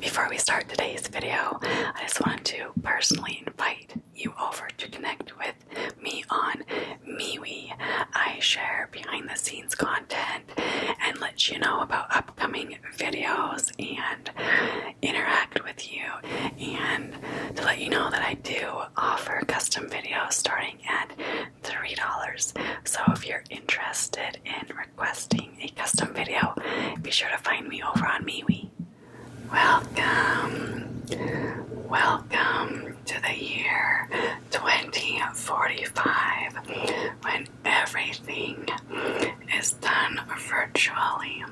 Before we start today's video, I just wanted to personally invite you over to connect with me on MeWe. I share behind the scenes content and let you know about upcoming videos and interact with you and to let you know that I do offer custom videos starting at $3. So if you're interested in requesting a custom video, be sure to find me over on MeWe. Welcome, welcome to the year 2045 when everything is done virtually.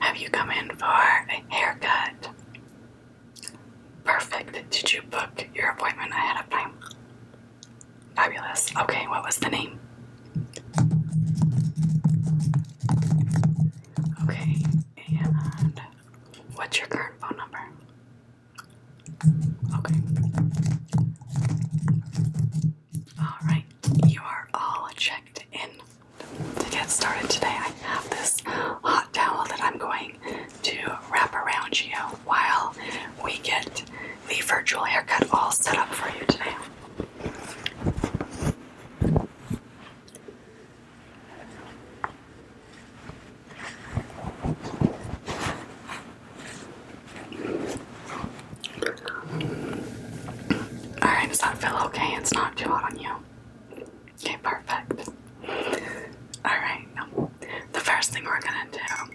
Have you come in for a haircut? Perfect. Did you book your appointment ahead of time? Fabulous. Okay, what was the name? Okay, and what's your current phone number? Okay. All right, you are all checked in to get started today, I have this hot towel that I'm going to wrap around you while we get the virtual haircut all set up for you today. Alright, does that feel okay? It's not too hot on you. Okay, perfect. Alright, the first thing we're gonna do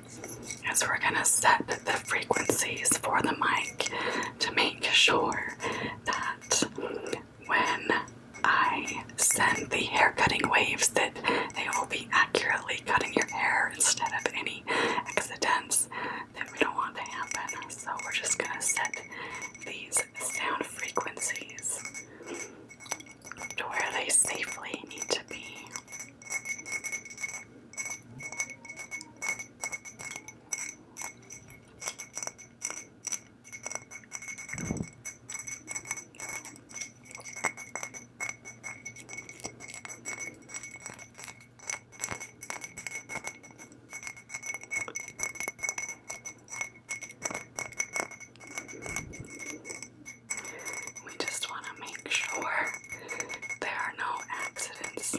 is we're gonna set the frequencies for the mic to make sure that when I send the hair cutting waves that they will be accurately cutting your hair instead of any accidents that we don't want to happen. So we're just gonna set these sound frequencies to where they safely need to be. We just want to make sure there are no accidents.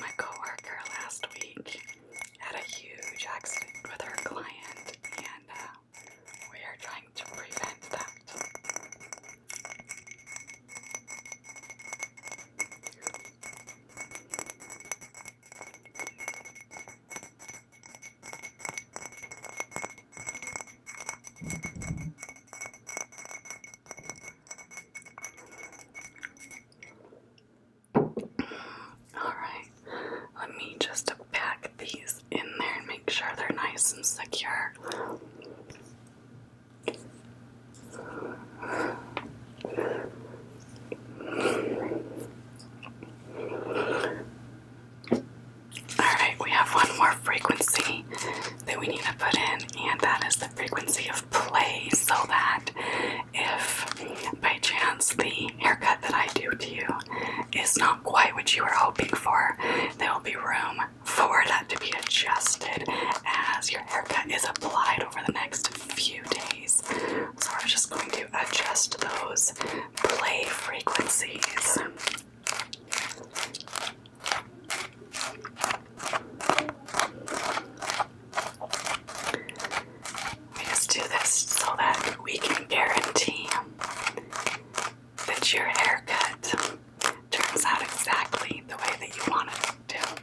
My coworker last week had a huge accident with her client, and uh, we are trying to prevent that. All right, let me just pack these in there and make sure they're nice and secure. Alright, we have one more frequency that we need to put in, and that is the frequency of play, so that if by chance the haircut that I do to you is not quite what you were hoping for, there will be room for that to be adjusted as your haircut is applied over the next few days. So we're just going to adjust those play frequencies. We just do this so that we can guarantee that your haircut turns out exactly the way that you want it to.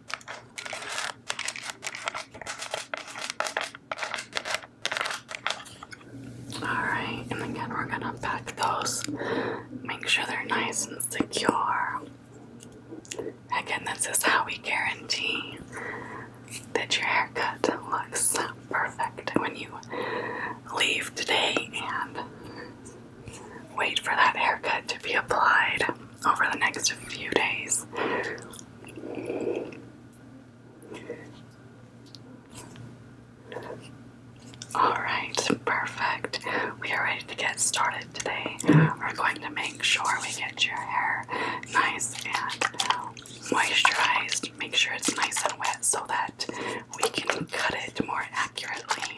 Alright, and again, we're gonna pack those, make sure they're nice and secure. Again, this is how we guarantee that your haircut looks perfect when you leave today and wait for that haircut to be applied over the next few days. Alright, perfect. We are ready to get started today. We're going to make sure we get your hair nice and moisturized. Make sure it's nice and wet so that we can cut it more accurately.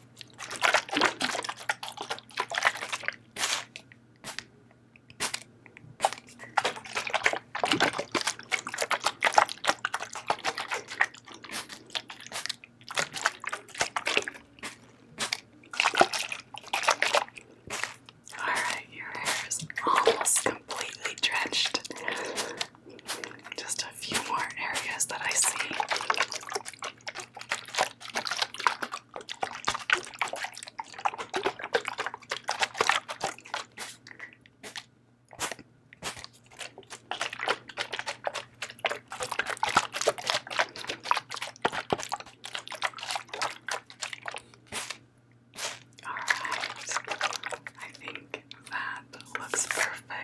All right, your hair is almost completely drenched. Just a few more areas that I see. All right, I think that looks perfect.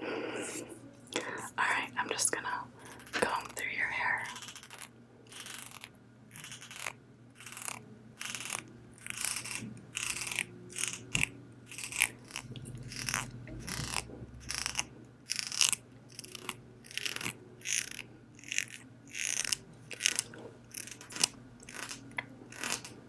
Alright, I'm just gonna comb through your hair.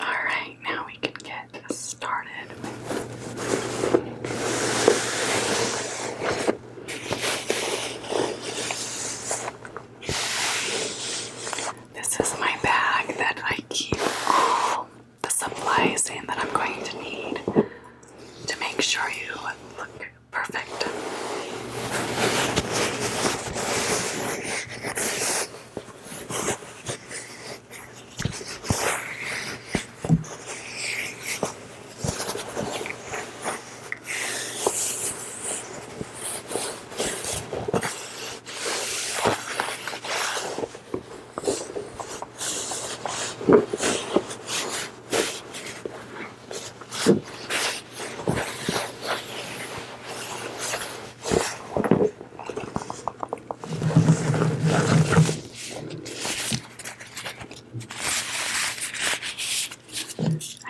All right, now we can get started. This is my bag that I keep all the supplies in that I'm going to need to make sure you look perfect. I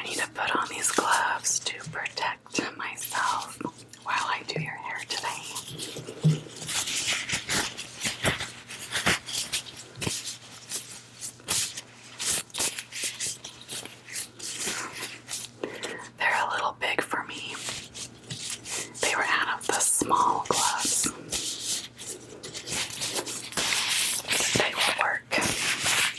need to put on these gloves to protect. To myself while I do your hair today. They're a little big for me. They were out of the small gloves. They will work.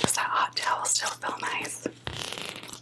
Does that hot towel still feel nice?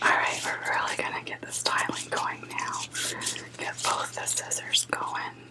Alright, we're really gonna get the styling going now. Get both the scissors going.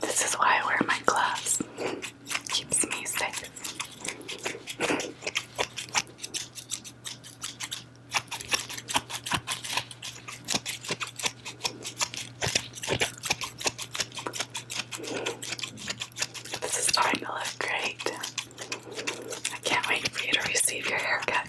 This is why I wear my gloves. Keeps me safe. This is starting to look great. I can't wait for you to receive your haircut.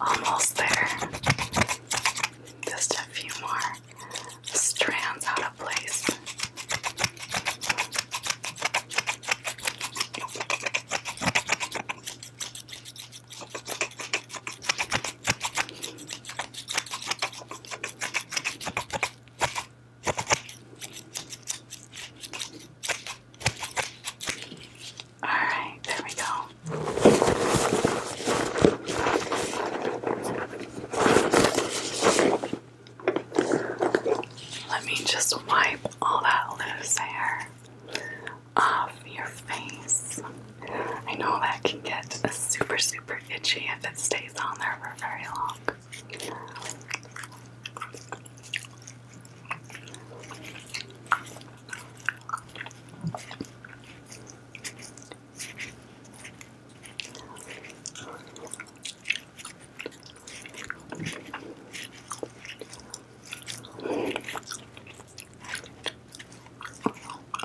Almost there. Just a few more strands out of place. All right, there we go. Let me just wipe all that loose hair off your face. I know that can get super, super itchy if it stays on there for very long.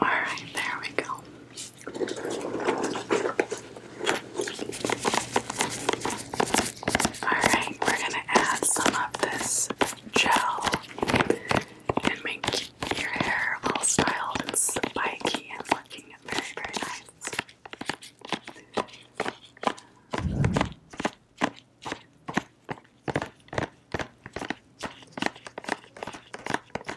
All right, there we go. Alright, we're gonna add some of this gel and make your hair all styled and spiky and looking very, very nice.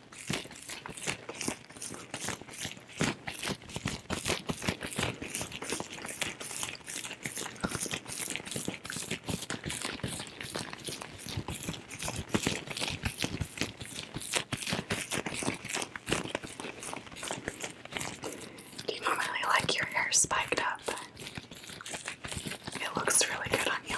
do you really like your hair spiked up. It looks really good on you.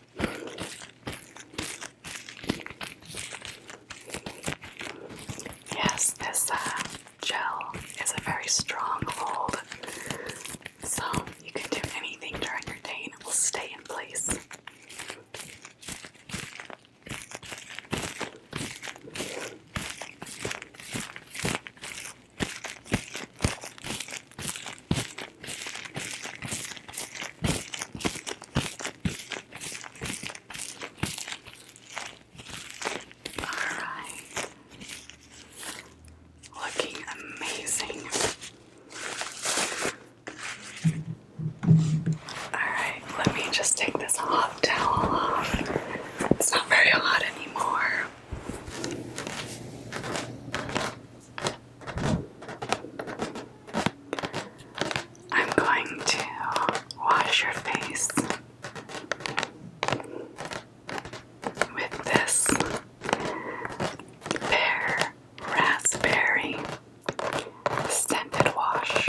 Yes, this uh, gel is a very strong hold, so you can do anything during your day and it will stay in place. Alright. Looking amazing. Alright, let me just take this hot towel off. It's not very hot anymore. I'm going to wash your face with this pear raspberry scented wash.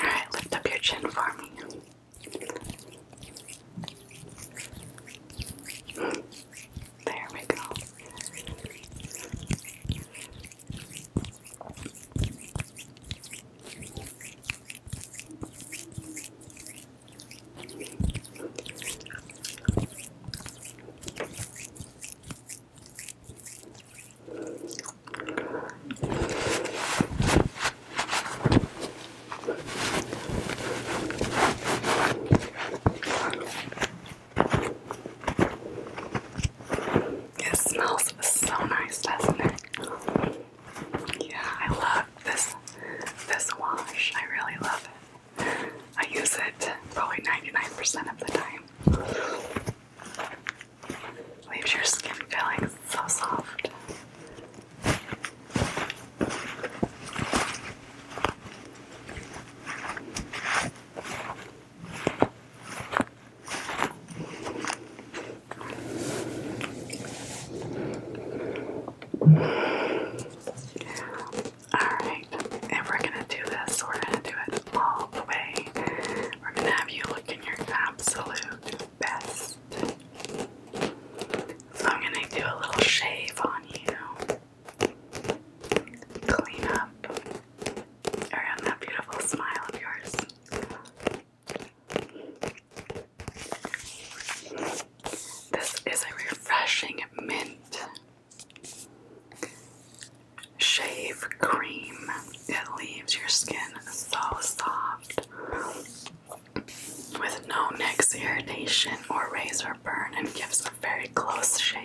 Alright, lift up your chin for me. There we go. It smells so nice, doesn't it? Yeah, I love this this wash. I really love it. I use it probably 99% of the time. Leaves your skin feeling so soft. Alright, if we're gonna do this, we're gonna do it all the way. We're gonna have you look in your absolute best. So I'm gonna do a little shave on you. Clean up around that beautiful smile of yours. This is a refreshing mint shave cream. It leaves your skin so soft with no next irritation or razor burn and gives a very close shave.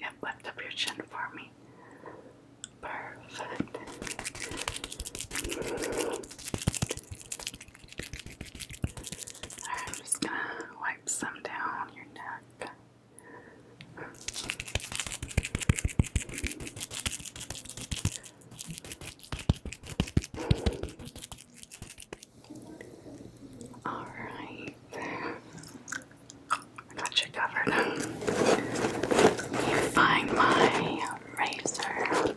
Yep, lift up your chin for me. Perfect. I'm just gonna wipe some down your neck. All right, I got you covered. Let find my razor.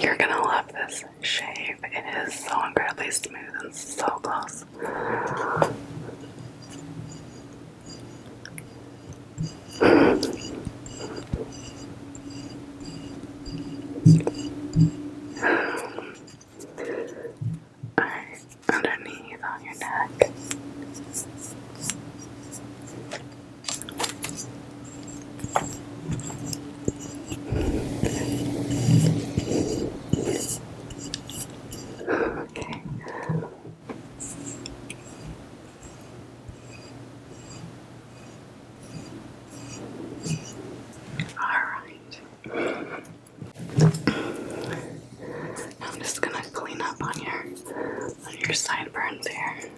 You're gonna love this shave. It is so incredibly smooth and so close. Alright, underneath on your neck. Okay. All right. I'm just gonna clean up on your on your sideburns here.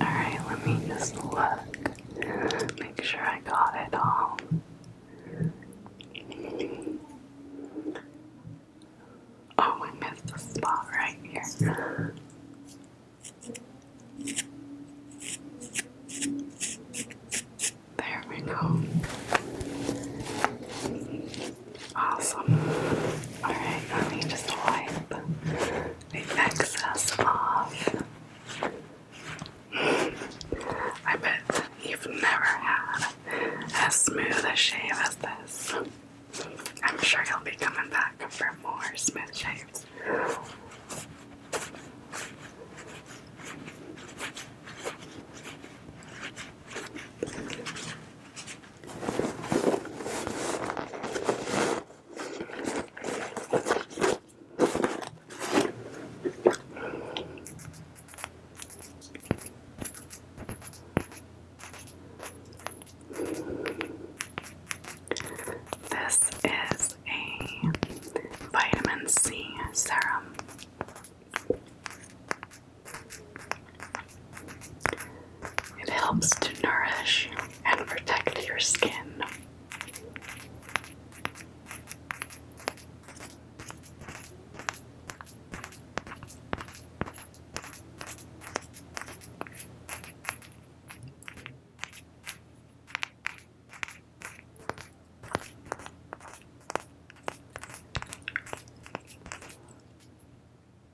Alright, let me just look. Make sure I got it all. Oh, I missed a spot right here. There we go. Awesome. Alright, let me just wipe reflects us off. I bet you've never had as smooth a shave as this. I'm sure you'll be coming back for more smooth shaves. This is a vitamin C serum. It helps to nourish and protect your skin.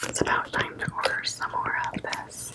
It's about time to order some more of this.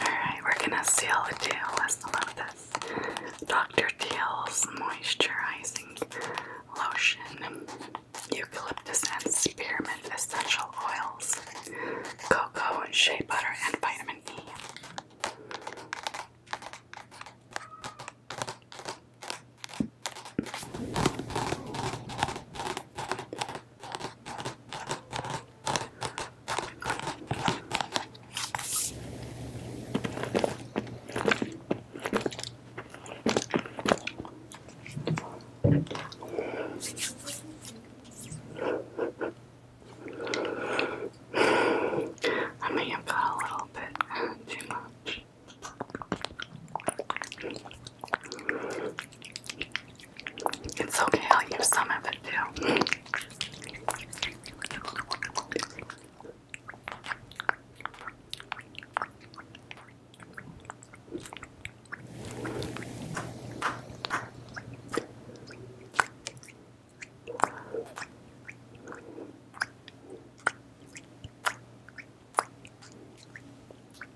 Alright, we're gonna seal the deal with some of this Dr. Teal's moisturizing lotion, eucalyptus and spearmint essential oils, cocoa, shea butter, and vitamin E. I may have got a little bit too much. It's okay, I'll use some of it too.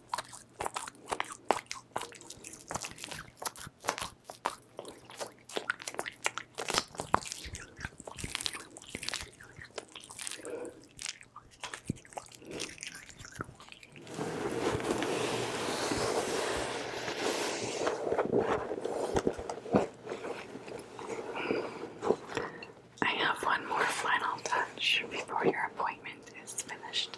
I have one more final touch before your appointment is finished.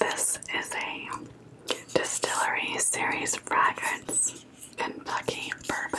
This is a Distillery Series Fragrance Kentucky Bourbon.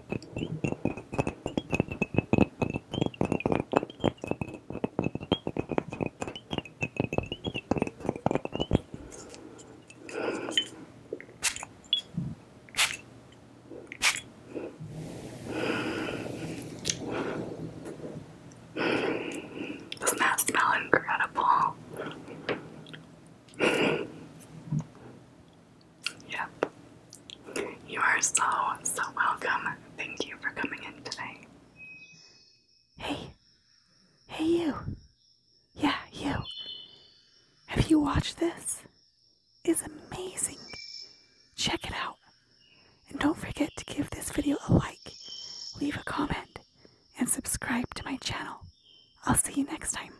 Doesn't that smell incredible? Yep. You are so, so welcome. Thank you for coming in today. Hey. Hey, you. Yeah, you. Have you watched this? It's amazing. Check it out. And don't forget to give this video a like, leave a comment, and subscribe to my channel. I'll see you next time.